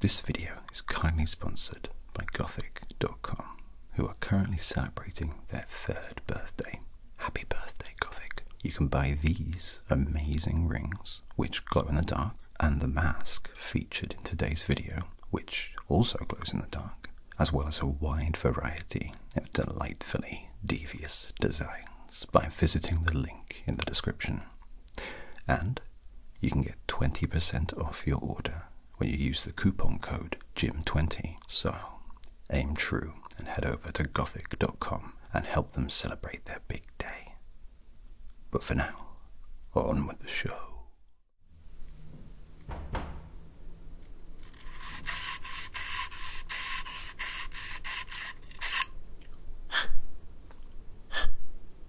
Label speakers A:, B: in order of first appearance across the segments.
A: This video is kindly sponsored by Gothic.com, who are currently celebrating their third birthday. Happy birthday, Gothic! You can buy these amazing rings, which glow in the dark, and the mask featured in today's video, which also glows in the dark, as well as a wide variety of delightfully devious designs by visiting the link in the description. And you can get 20% off your order when you use the coupon code GYM20. So aim true and head over to gothic.com and help them celebrate their big day. But for now, on with the show.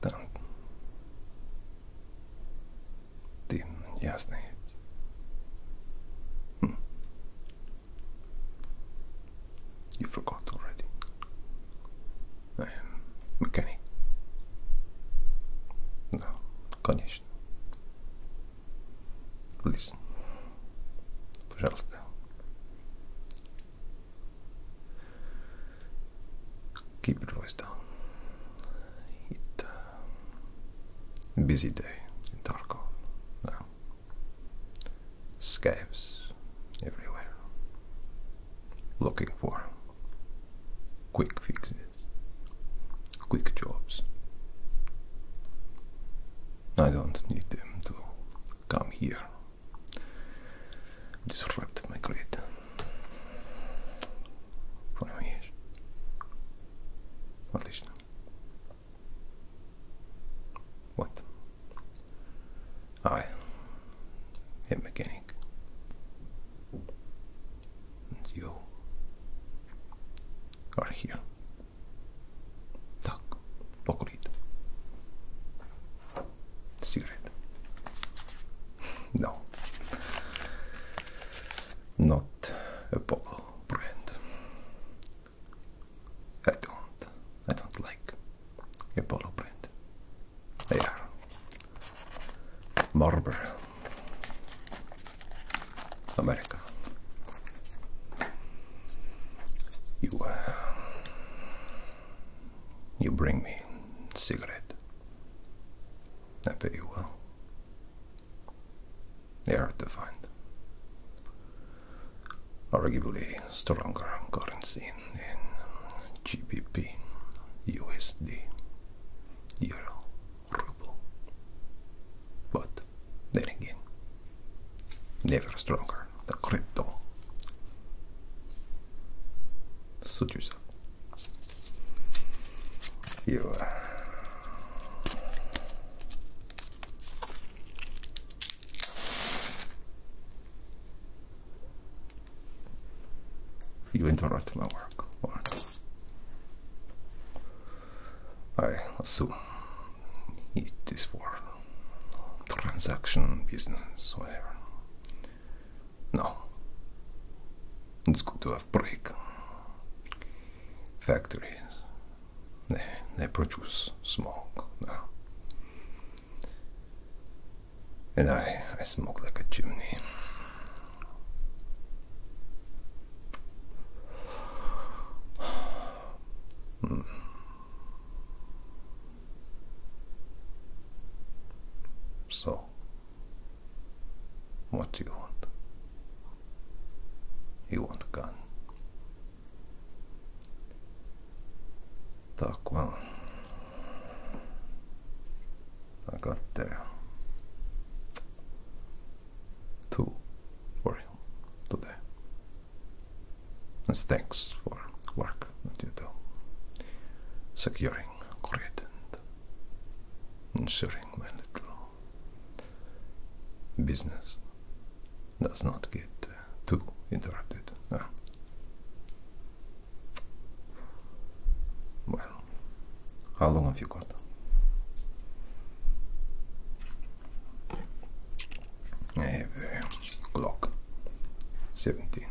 A: Там. You forgot already. I am mechanic. No, конечно. Please. Пожалуйста. Keep your voice down. It's a uh, busy day in Tarkov now. everywhere. Looking for quick fixes, quick jobs. I don't need them to come here disrupted my grid for years, at least now. What? I a mechanic, and you are here. Так, покурить. Secret. No, not a Apollo brand. I don't. I don't like Apollo brand. They are Marlboro, America. You. are. Uh, you bring me cigarette. I bet you will. They are to find. Arguably stronger currency in GBP, USD, Euro, Ruble. But then again, never stronger are the crypto. Suit yourself. You. Uh, you interrupt my work. Or I assume it is for transaction business, whatever. No, it's good to have brick factories. They they produce smoke now, and I I smoke like a chimney. Hmm. So, what do you want? You want a gun? Talk well. I got there. Two for today as thanks for work that you do, securing grid and ensuring my little business does not get uh, too interrupted. Ah. Well, how long have you got? I have eh, 17.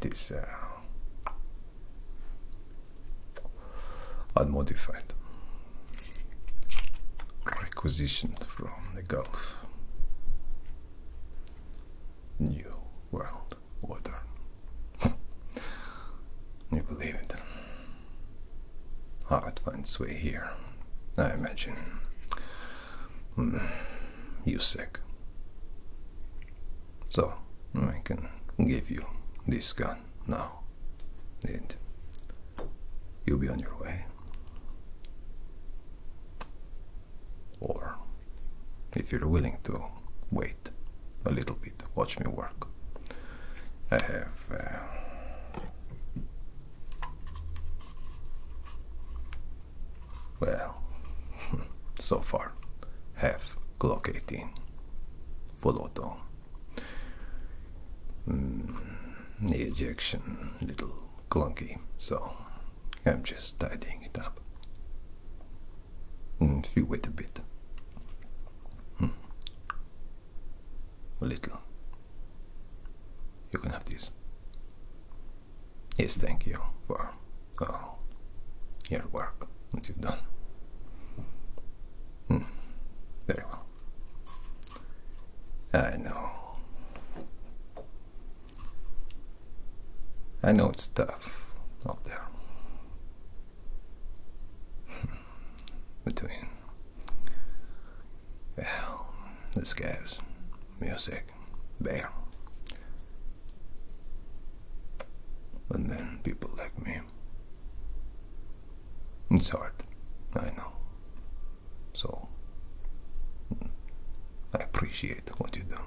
A: This uh, unmodified, requisitioned from the Gulf. New World Water. you believe it? Art finds way here, I imagine. Hmm, you sick. So, I can give you this gun now. And you'll be on your way. Or, if you're willing to wait a little bit. Watch me work. I have. Uh, well, so far, half Glock 18 full auto. Mm, ejection little clunky, so I'm just tidying it up. Mm, if you wait a bit. Hmm a little. You can have this. Yes, thank you for uh, your work that you've done. Hmm, very well. I know. I know it's tough out there. Hmm between, well, the scaves, music, bear. And then people like me. It's hard, I know. So, I appreciate what you do.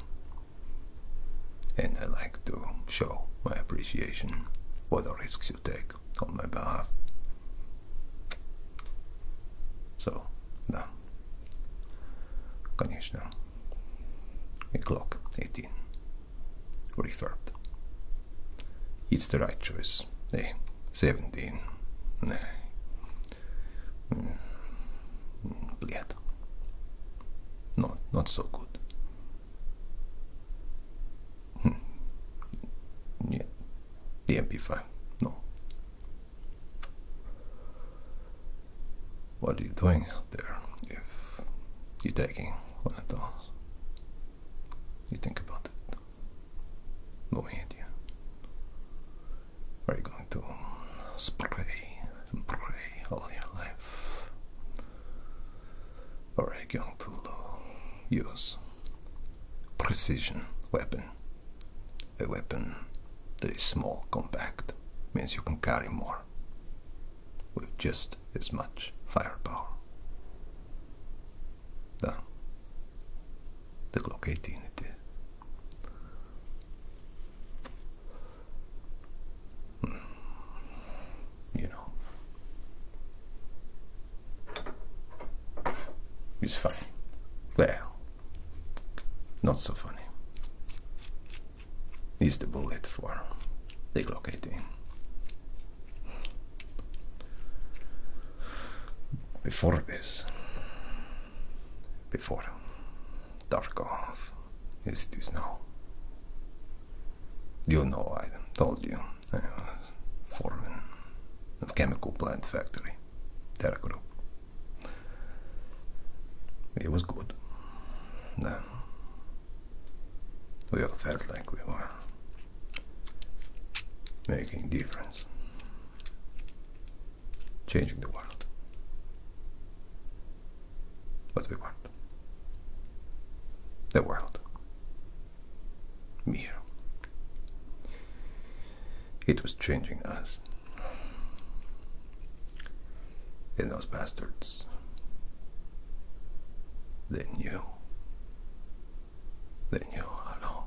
A: And I like to show my appreciation for the risks you take on my behalf. So, now, конечно, a Glock 18, refurbed. It's the right choice. Hey, 17. Nah. Hmm. Mm. Bled. not so good. Hmm. Yeah. The MP5. No. What are you doing out there if you're taking one of those? You think about it. No idea. Are you going to spray and all your life? Oregon Thulu use precision weapon. A weapon that is small, compact, means you can carry more with just as much firepower. The, the Glock 18 it is. Hmm you know. It's funny. Well, not so funny. Is the bullet for the Glock 18. Before this, before Darkov, is it is now. You know, I told you. I foreman of chemical plant factory, Terra Group. It was good. No. We all felt like we were making difference, changing the world. But we were the world. You. It was changing us. In those bastards. They knew. They knew how long.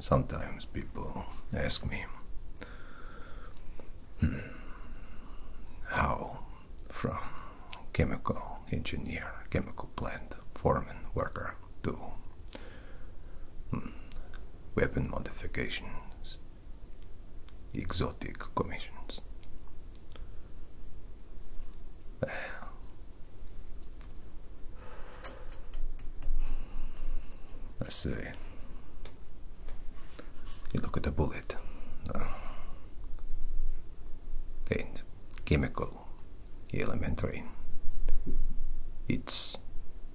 A: Sometimes people ask me hmm, how from chemical engineer, chemical plant foreman, worker to hmm, weapon modifications, exotic commissions. Let's see. You look at the bullet. Uh, chemical, elementary. It's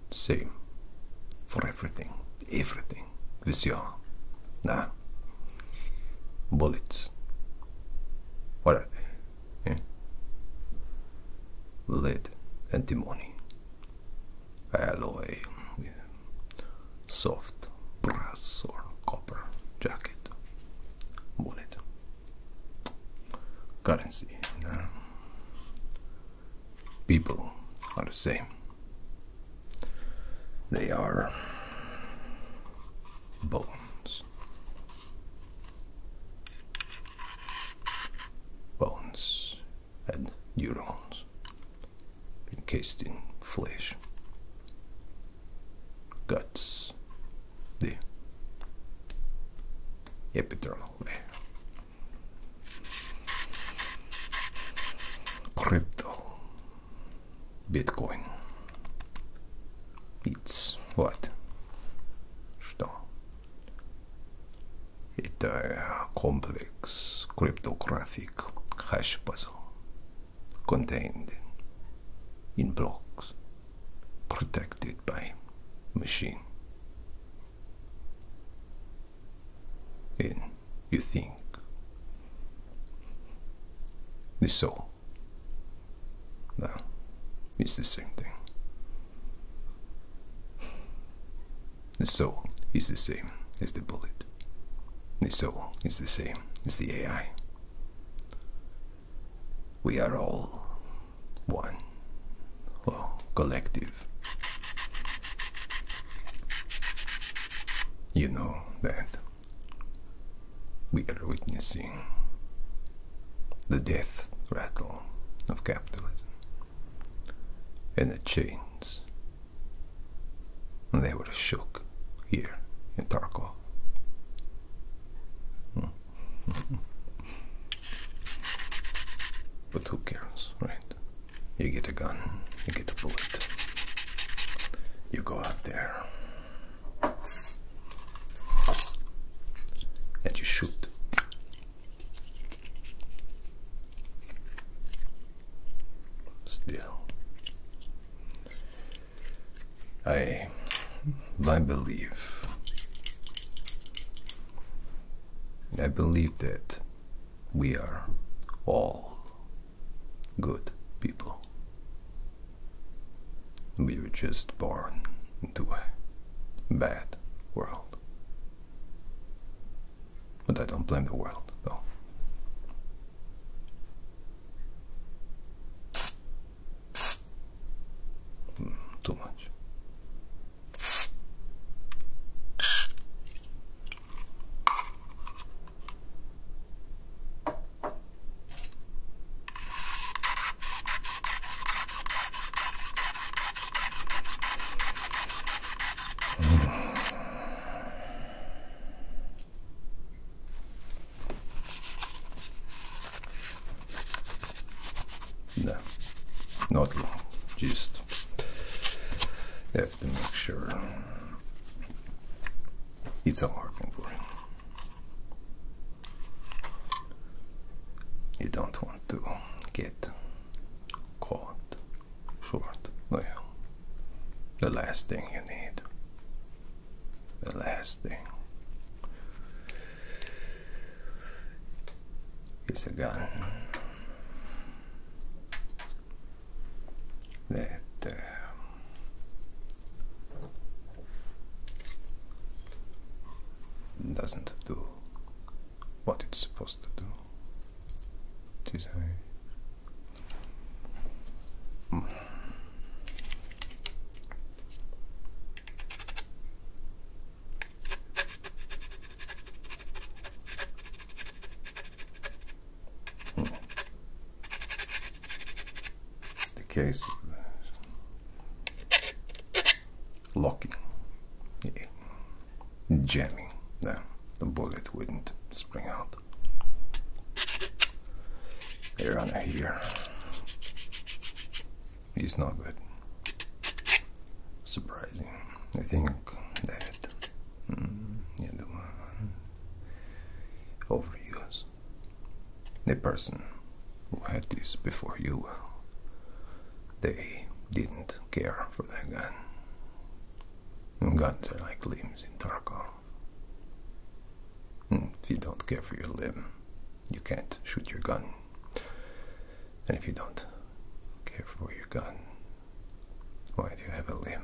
A: same for everything. Everything. Vision. Nah. Bullets. What Lead, antimony, alloy, soft brass or copper jacket, bullet, currency. people are the same. They are bones bones. and neurons encased in flesh. Guts, the epidermal layer. Crypto, Bitcoin. It's what? Что? Это complex cryptographic hash puzzle contained in blocks protected by machine. And you think the soul no, it's the same thing. The soul is the same as the bullet. The soul is the same as the AI. We are all one, or oh, collective. You know that. We are witnessing the death rattle of capitalism in the chains. And they were shook here in Tarkov. but who cares, right? You get a gun, you get a bullet, you go out there and you shoot. Still, I, I believe, I believe that we are all good people. We were just born into a bad world. But I don't blame the world, though. Hmm, too much. No, not long, just have to make sure. It's all working for him. You don't want to get caught short. No, The last thing you need. The last thing is a gun that uh, doesn't do what it's supposed to do. It is a the case locking, yeah. jamming. No, the bullet wouldn't spring out. Air on here. It's not good. Surprising. I think that mm, yeah, one overuse the person who had this before you, they didn't care for their gun. Guns are like limbs in Tarkov. Hmm, if you don't care for your limb, you can't shoot your gun. And if you don't care for your gun, why do you have a limb?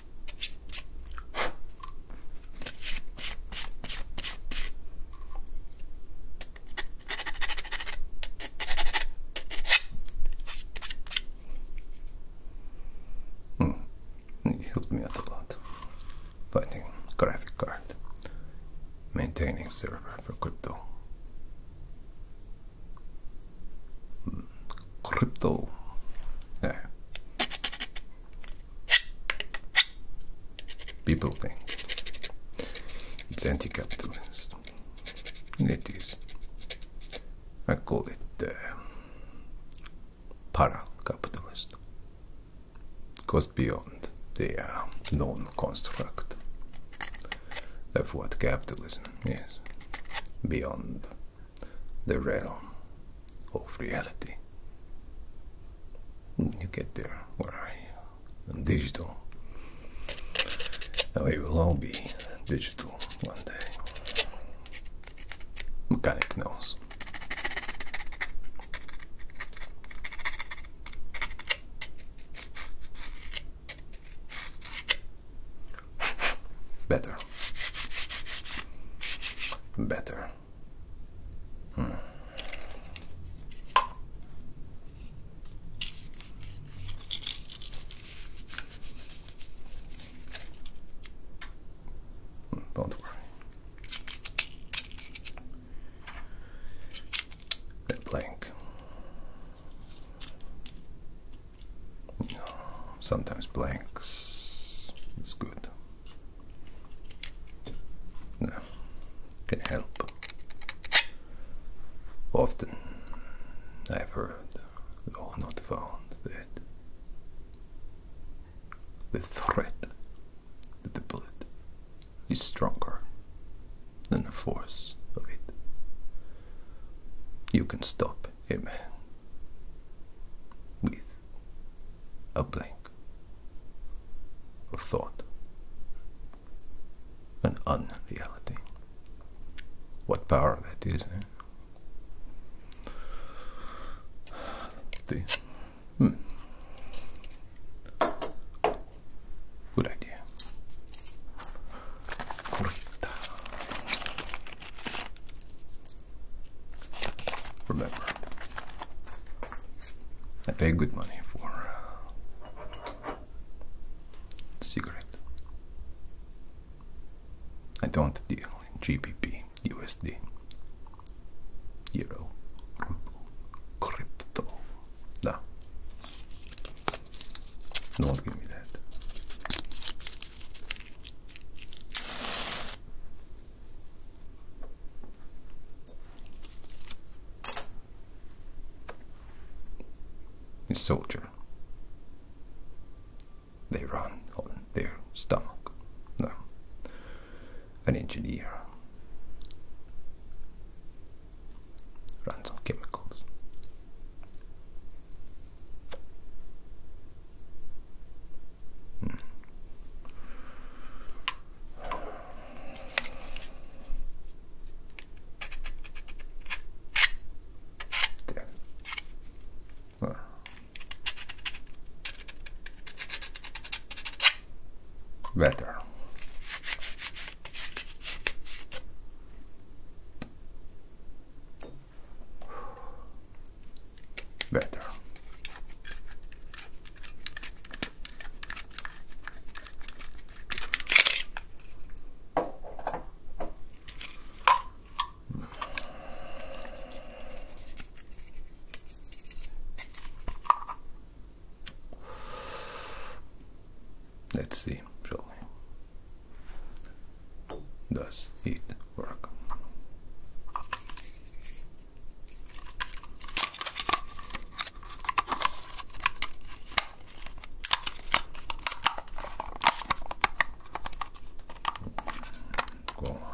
A: Hmm, it helped me out a lot. Fighting graphic card, maintaining server for crypto. Hmm. Crypto, yeah. People think it's anti capitalist. It is. I call it uh, para capitalist. Goes beyond the known uh, construct of what capitalism is, beyond the realm of reality. When you get there, where are you? digital. Now we will all be digital one day. Mechanic knows. Better better. Hmm. Don't worry. The blank sometimes blanks. It's good. No, can help. Often I've heard, though not found, that the threat the bullet is stronger than the force of it. You can stop a man with a blank A thought, an unreality. What power that is, eh? The, hmm. Good idea. Correcta. Remember, I pay good money for uh, I don't deal in GBP, USD, Euro, Crypto. No, don't give me that. A soldier. They run on their stomach. No. An engineer runs on chemicals. Hmm. Better better. Let's see, shall does it work? Go on.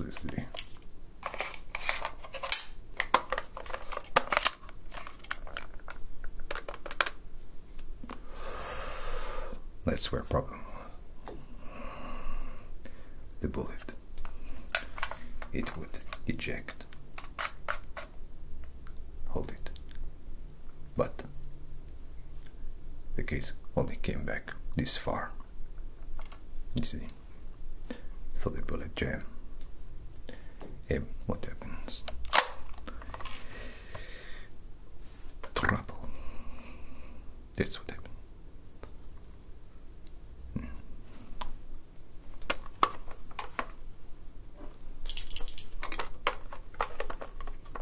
A: let's see. That's where problem the bullet. It would eject. Hold it. But the case only came back this far. You see. So the bullet jam. And what happens? Trouble. That's what happened. Hmm.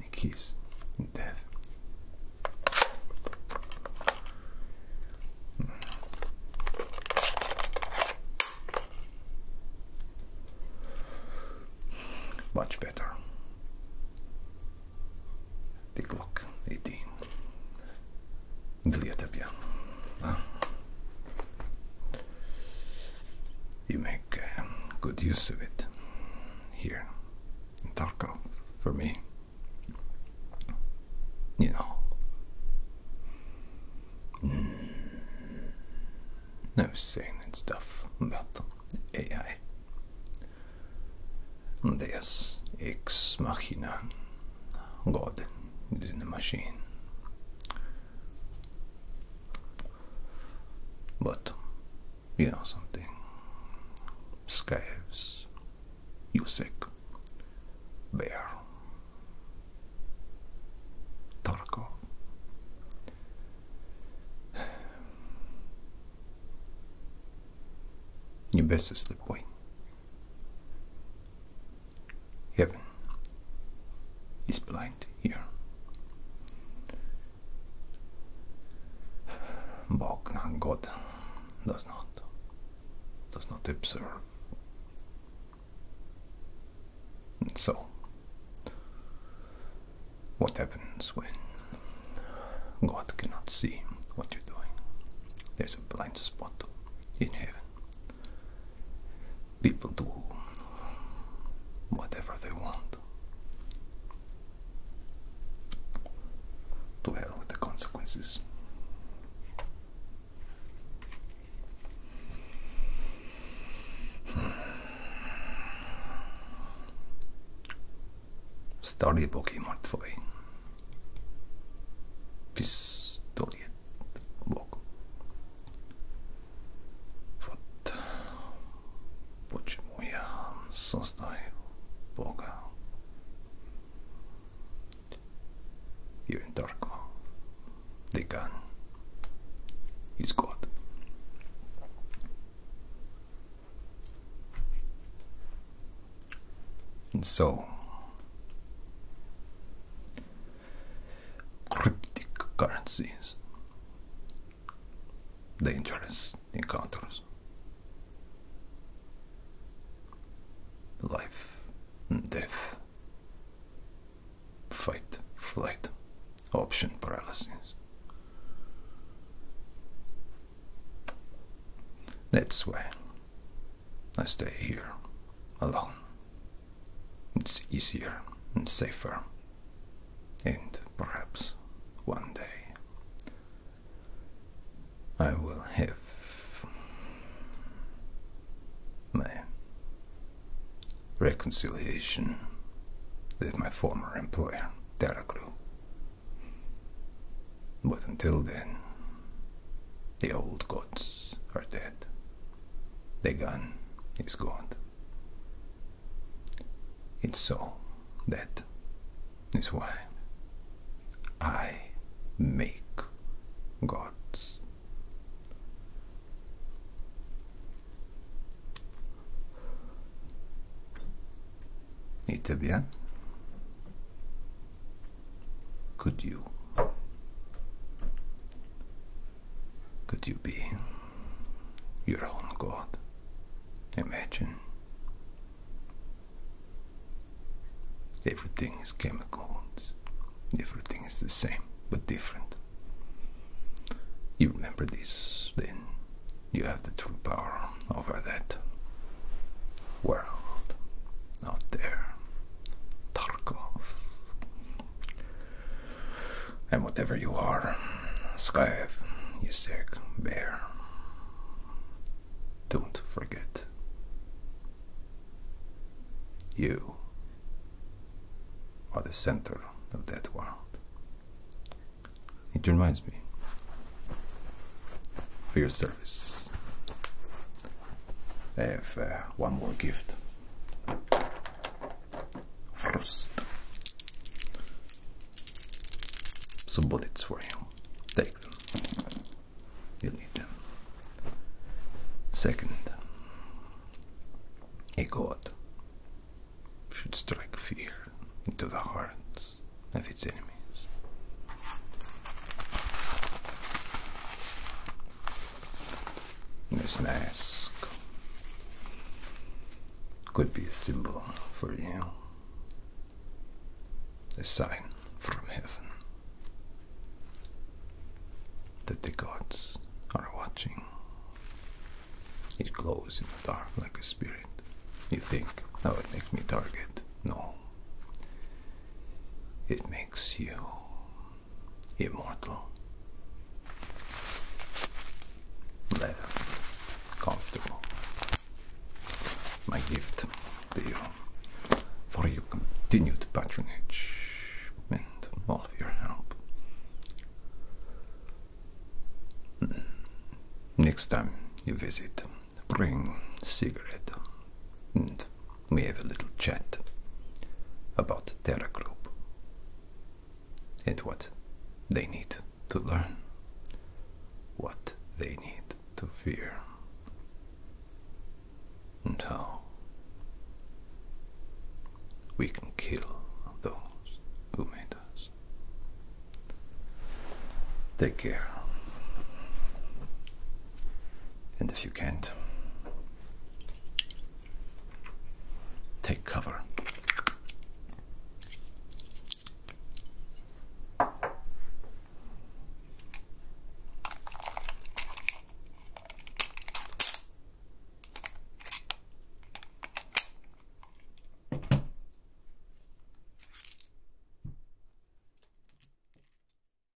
A: A kiss. Death. Much better. The Glock 18. Dilietepia you make um, good use of it here in Tarkov for me. You know. Hmm. No saying and stuff about the AI. Deus ex machina. God is in the machine. But you know something, Scaves, Yusek, Bear, Tarkov. You best slip away. Heaven is blind here. Bognan God does not does not observe. so what happens when God cannot see what you're doing? There's a blind spot in heaven People do whatever they want. To hell with the consequences. Story Pokemon Twoje. Pistolet Bok. Вот почему я создаю Бога. Юрий Тарков, Деган, из год. And so, Cryptic currencies. dangerous encounters, life death, fight, flight, option paralysis. That's why I stay here alone. It's easier and safer. And perhaps one day I will have my reconciliation with my former employer, Daraglu. But until then, the old gods are dead. The gun is God. It's so that is why I make gods. Et eh bien, could you could you be your own God? Imagine. Everything is chemicals. Everything is the same, but different. You remember this, then you have the true power over that world out there. Tarkov. And whatever you are, skive, you sick bear, don't forget. You are the center of that world. It reminds me for your service. I have uh, one more gift. First, Some bullets for you. Take them. You'll need them. Second, a god should strike fear into the hearts of its enemies. This mask could be a symbol for you, a sign from heaven that the gods are watching. It glows in the dark like a spirit. You think, oh, it makes me target. No. It makes you immortal. Leather, comfortable. My gift to you for your continued patronage and all of your help. Mm. Next time you visit, bring cigarette and we have a little chat about Terra Group and what they need to learn, what they need to fear, and how we can kill those who made us. Take care. And if you can't, Take cover.